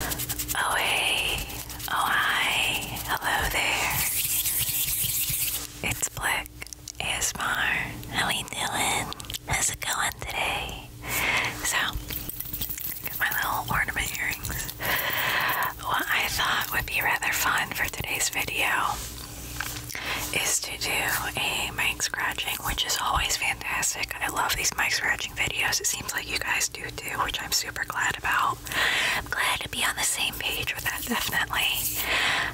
Oh hey, oh hi, hello there. It's Black ASMR. How we doing? How's it going today? So, got my little ornament earrings. What I thought would be rather fun for today's video is to do a mic scratching, which is always fantastic. I love these mic scratches videos, it seems like you guys do too, which I'm super glad about. glad to be on the same page with that, definitely.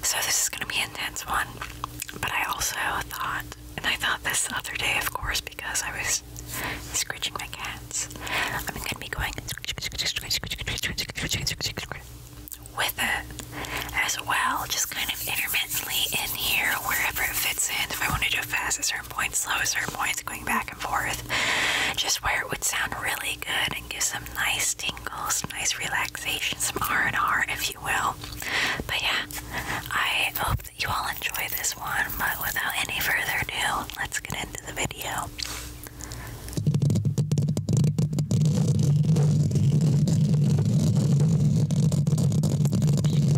So, this is going to be an intense one. But I also thought, and I thought this other day, of course, because I was scratching my cats, I'm going to be going with it as well, just kind of intermittently in here, wherever it fits in. If I want to do a fast, points, low points, going back and forth. Just where it would sound really good and give some nice tingles, some nice relaxation, some R&R, if you will. But yeah, I hope that you all enjoy this one. But without any further ado, let's get into the video.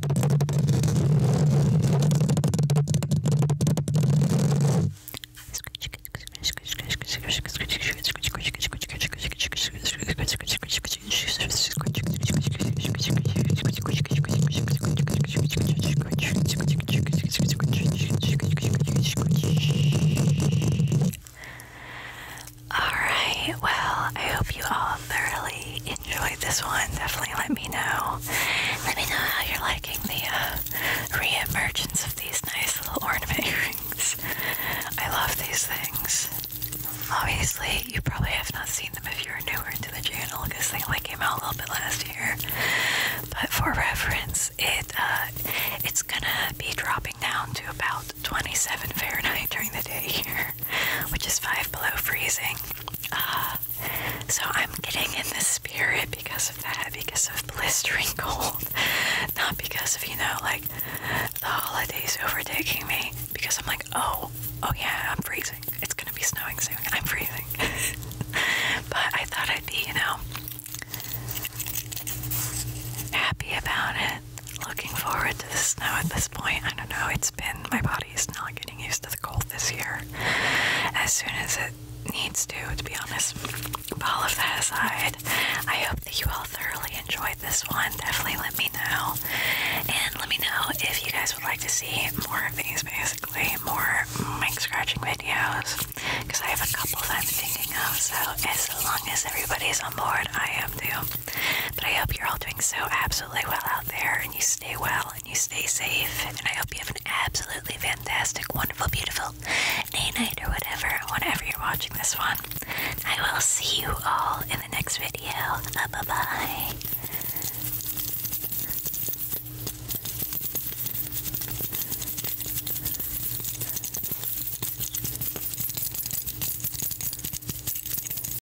All right, well, I hope you all thoroughly you this one, definitely let me know. Let me know how you're liking the uh, of these nice little ornament earrings. I love these things. Obviously, you probably have not seen them if you're newer to the channel because they only came out a little bit last year. But for reference, it uh, it's gonna be dropping down to about 27 Fahrenheit during the day here, which is five below freezing. Uh, so I'm getting in the spirit because of that, because of blistering cold, not because of, you know, like the holidays overtaking me, because I'm like, oh, oh yeah, I'm freezing. It's gonna be snowing soon. I'm freezing. but I thought I'd be, you know, happy about it. Looking forward to the snow at this point. I don't know, it's been, my body body's not getting used to the cold this year as soon as it needs to, to be honest. But all of that aside, I hope that you all thoroughly enjoyed this one. Definitely let me know. And let me know if you guys would like to see more of these, basically, more mic scratching videos. Because I have a couple that I'm thinking of, so as long as everybody's on board, I am too. But I hope you're all doing so absolutely well out there and you stay well and you stay safe. And I hope you have an absolutely fantastic, wonderful, beautiful day, night, or whatever, whenever you're watching this one. I will see you all in the next video. bye bye.